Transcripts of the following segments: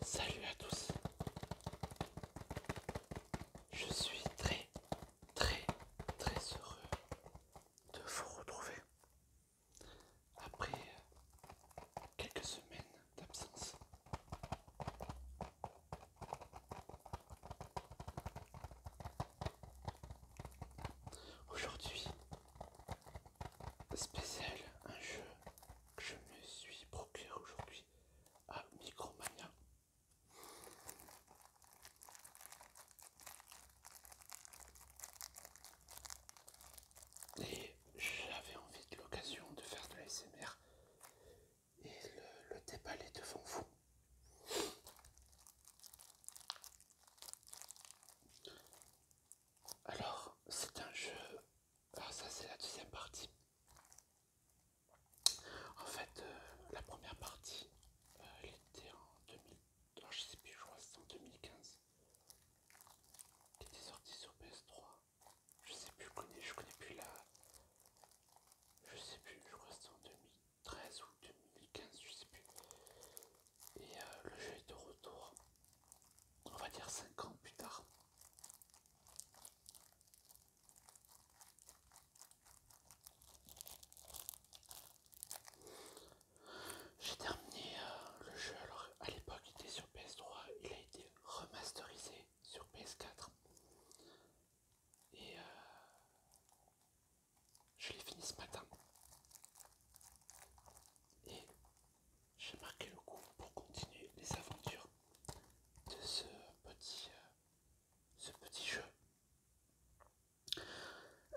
Salut à tous. Je suis très très très heureux de vous retrouver après quelques semaines d'absence. Aujourd'hui, spécial, un jeu que je me suis procuré aujourd'hui à Micromania. Et j'avais envie de l'occasion de faire de la et le, le déballer devant vous. Alors, c'est un jeu... Alors ah, ça, c'est la deuxième partie. En fait, euh, la première partie, euh, elle était en 2000... je sais plus, je crois que c'était en 2015. Qui était sortie sur PS3. Je sais plus, je connais, je connais plus la... Je sais plus, je crois que c'était en 2000... 13 ou 2015, je sais plus. Et euh, le jeu est de retour, on va dire 5 ans plus tard. J'ai terminé euh, le jeu, alors à l'époque il était sur PS3, il a été remasterisé sur PS4. Et euh, je l'ai fini ce matin. Et j'ai marqué le coup pour continuer les aventures de ce petit, euh, ce petit jeu.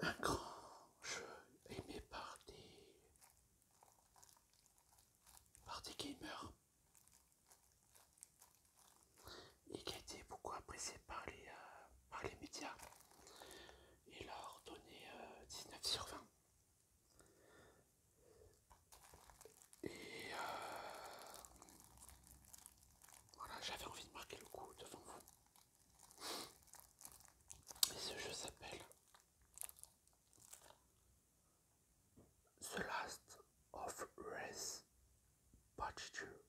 Un grand jeu aimé par des, par gamers et qui a été beaucoup apprécié par les euh, médias et leur donner 19 euh, sur 20. Et euh, voilà, j'avais envie de marquer le coup devant vous. Et ce jeu s'appelle The Last of Part 2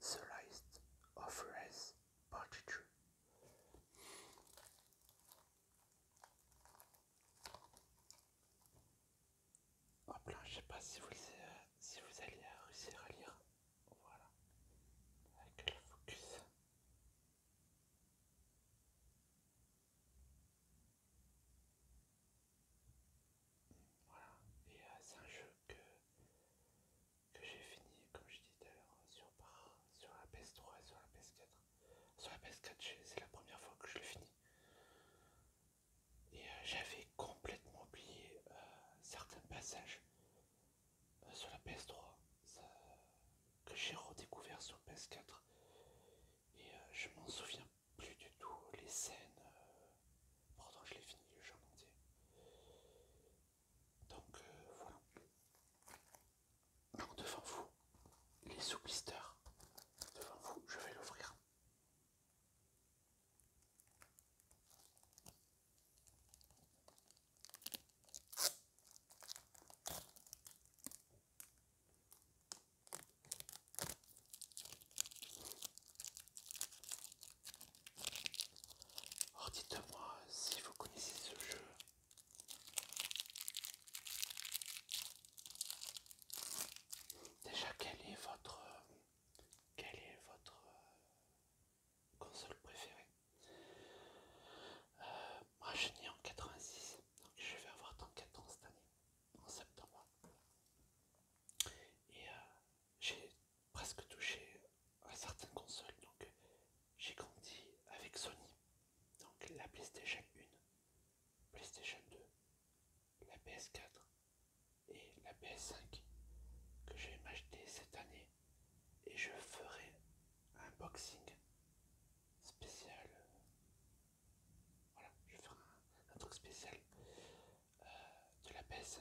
The est of Race Part 2. Hop là, je sais pas si vous, euh, si vous allez réussir à lire. Voilà. Avec le focus. Voilà. Et euh, c'est un jeu que que j'ai fini, comme je disais tout à l'heure, sur, la PS3 et sur la PS4. Sur la PS4, c'est la première fois que je le finis. Et euh, j'avais complètement oublié euh, certains passages euh, sur la PS3 que j'ai redécouvert sur PS4. Et je m'en souviens plus du tout les scènes. pendant pourtant je l'ai fini le jeu entier. Donc euh, voilà. devant vous, les sous devant vous, je vais l'ouvrir. Or oh, dites-moi si vous connaissez ce jeu. Déjà, quelle est votre, quelle est votre euh, console préférée euh, Moi, je n'ai en 86, donc je vais avoir tant ans cette année, en septembre. Et euh, j'ai presque touché à certaines consoles. Donc j'ai grandi avec Sony. Donc la PlayStation 1, PlayStation 2, la PS4 et la PS5 que je vais m'acheter cette année. Et je ferai un unboxing spécial. Voilà, je ferai faire un truc spécial euh, de la PS5.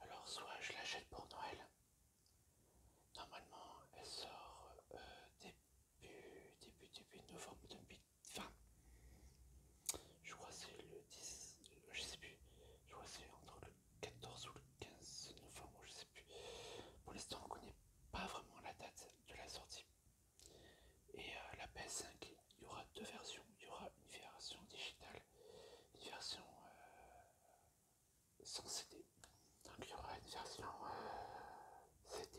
Alors soit je l'achète pour Noël. Normalement, elle sort euh, début, début, début novembre 2020. Je crois c'est le 10, euh, je sais plus. Je crois c'est entre le 14 ou le 15 novembre, je sais plus. Pour l'instant, on connaît pas vraiment la date de la sortie. Et la PS5, il y aura deux versions. Il y aura une version digitale une version euh, sans CD. Donc il y aura une version euh, CD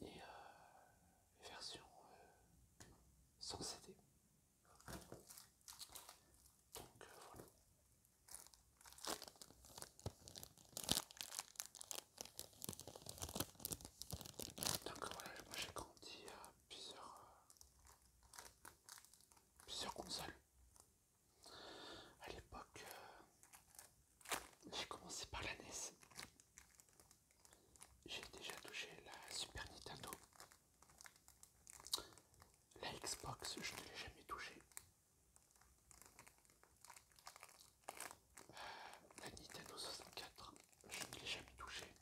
et euh, une version sans CD. Donc voilà. Donc voilà, moi j'ai grandi à plusieurs, plusieurs console. À l'époque, euh, j'ai commencé par la NES. J'ai déjà touché la Super Nintendo. La Xbox, je ne l'ai jamais touché, euh, la Nintendo 64, je ne l'ai jamais touché.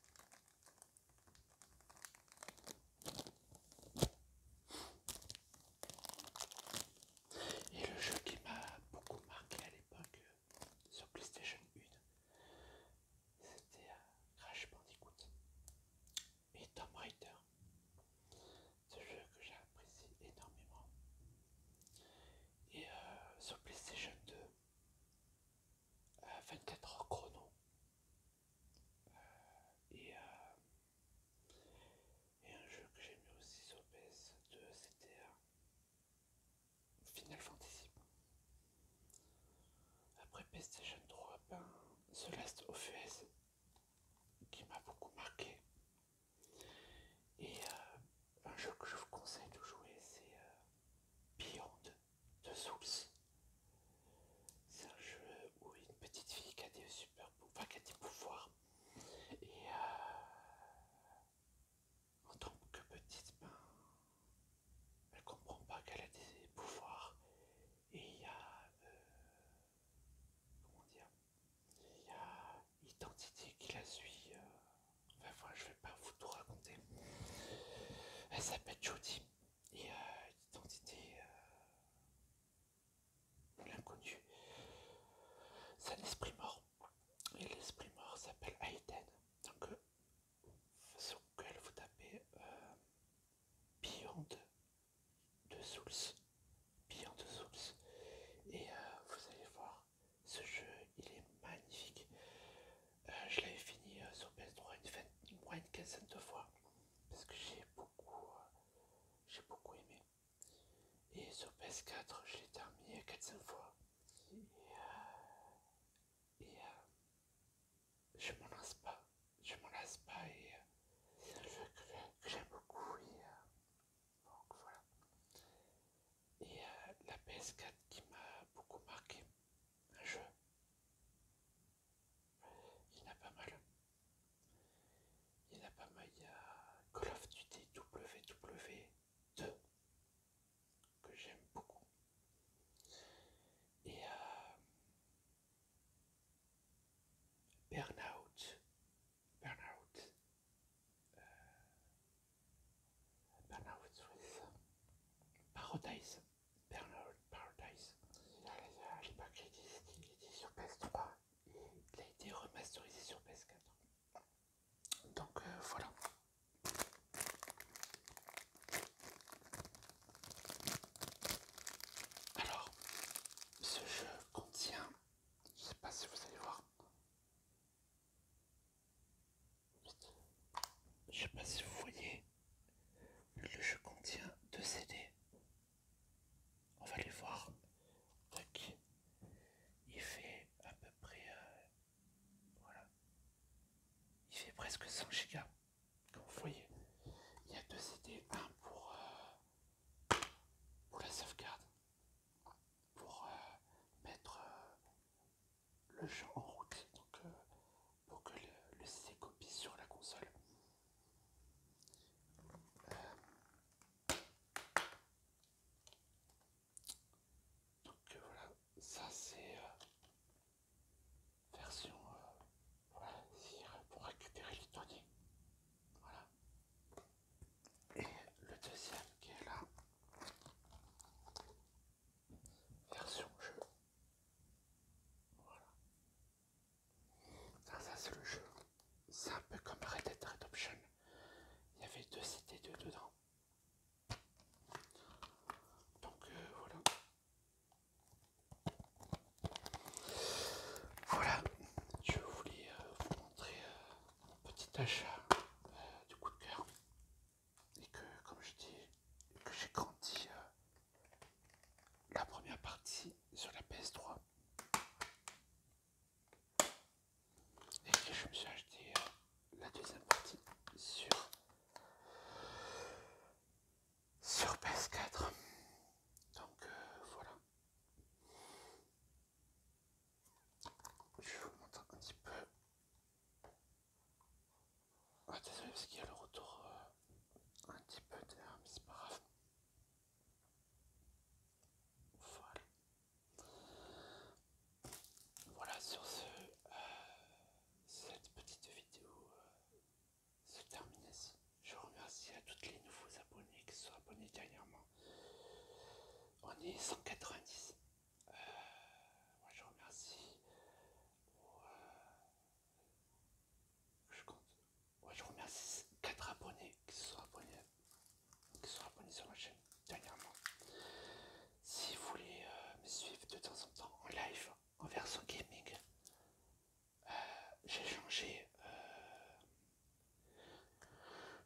Et le jeu qui m'a beaucoup marqué à l'époque euh, sur PlayStation 1, c'était euh, Crash Bandicoot et Tomb Raider. Ce jeu que j'ai apprécié énormément. Et euh, sur PlayStation 2, 24 h chrono. Euh, euh, et, un jeu que j'ai mis aussi sur PS2, c'était euh, Final Fantasy. Après PlayStation 3, Celeste ben, Last of Us qui m'a beaucoup marqué. Et un jeu que je vous conseille de jouer, c'est Beyond de Souls. C'est un jeu où une petite fille qui a des super qui a des pouvoirs. Et euh, en tant que petite, ben, elle comprend pas qu'elle a des pouvoirs. Et il y a euh, comment dire Il y a Identité qui la suit. Euh. enfin, voilà, je vais pas vous tout raconter. Elle s'appelle Judy et identité euh, l'identité euh, l'inconnu. C'est un esprit mort. Et l'esprit mort s'appelle Aiden. Donc, sur euh, Google, vous tapez Beyond de Souls. Beyond de Souls. Et vous allez voir, ce jeu, il est magnifique. Euh, je l'avais fini euh, sur PS3 une, une, quinzaine de fois parce que j'ai beaucoup, euh, j'ai beaucoup aimé. Et sur PS4, je l'ai terminé 4-5 fois. Et, je m'en lasse pas. Je m'en lasse pas et c'est un jeu que, j'aime beaucoup. Et, donc voilà. Et la PS4 qui m'a beaucoup marqué, un jeu, il y en a pas mal. Il y a pas mal. Il y a Call of Duty WW2 que j'aime beaucoup. Et euh, Burnout. Burnout. Euh, Burnout, Swiss. Paradise. Bernard Paradise. il sur PS3 il a été remasterisé sur PS4. Donc euh, voilà. Alors, ce jeu contient, je ne sais pas si vous allez voir, je sais pas si vous voyez, le jeu contient deux CD. On va les voir. Il fait à peu près. Euh, voilà. Il fait presque 100 gigas. Comme vous voyez, il y a deux CD. Un pour, euh, pour la sauvegarde. Pour euh, mettre le jeu en route donc, euh, pour que le, C copie sur la console. Euh. donc euh, voilà, ça c'est version pour récupérer les données. Voilà. Et le deuxième qui est là, version jeu. Voilà. Ça, ça c'est le jeu. C'est un peu comme Red Dead Redemption. Il y avait deux CD2 dedans. Donc euh, voilà. Voilà, je voulais euh, vous montrer mon euh, petit achat du coup de cœur et que, comme je dis, que j'ai grandi euh, la première partie sur la PS3 et que je me suis acheté euh, la deuxième partie sur sur PS4 donc euh, voilà je vous montre un petit peu ah, désolé, parce qu'il y a le retour euh, un petit peu de mais c'est pas grave. Voilà. sur ce, euh, cette petite vidéo euh, se termine Je remercie à toutes les nouveaux abonnés qui sont abonnés dernièrement. On est 190 je remercie. Euh, je compte. Moi je remercie 4 abonnés qui se sont abonnés, sur ma chaîne dernièrement. Si vous voulez euh, me suivre de temps en temps en live, en version gaming, euh, j'ai changé,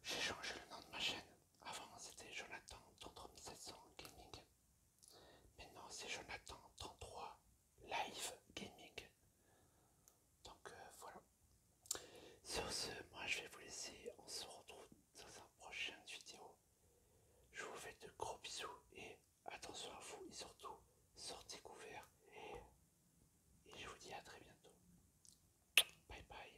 j'ai changé le nom de ma chaîne. Avant c'était Jonathan d'entre 3700 Gaming. Maintenant, c'est Jonathan 33 Live Gaming. Donc euh, voilà. Sur ce, moi je vais vous laisser. On se retrouve dans un prochaine vidéo. Je vous fais de gros bisous et attention à vous et surtout sortez couverts. et je vous dis à très bientôt. Bye bye.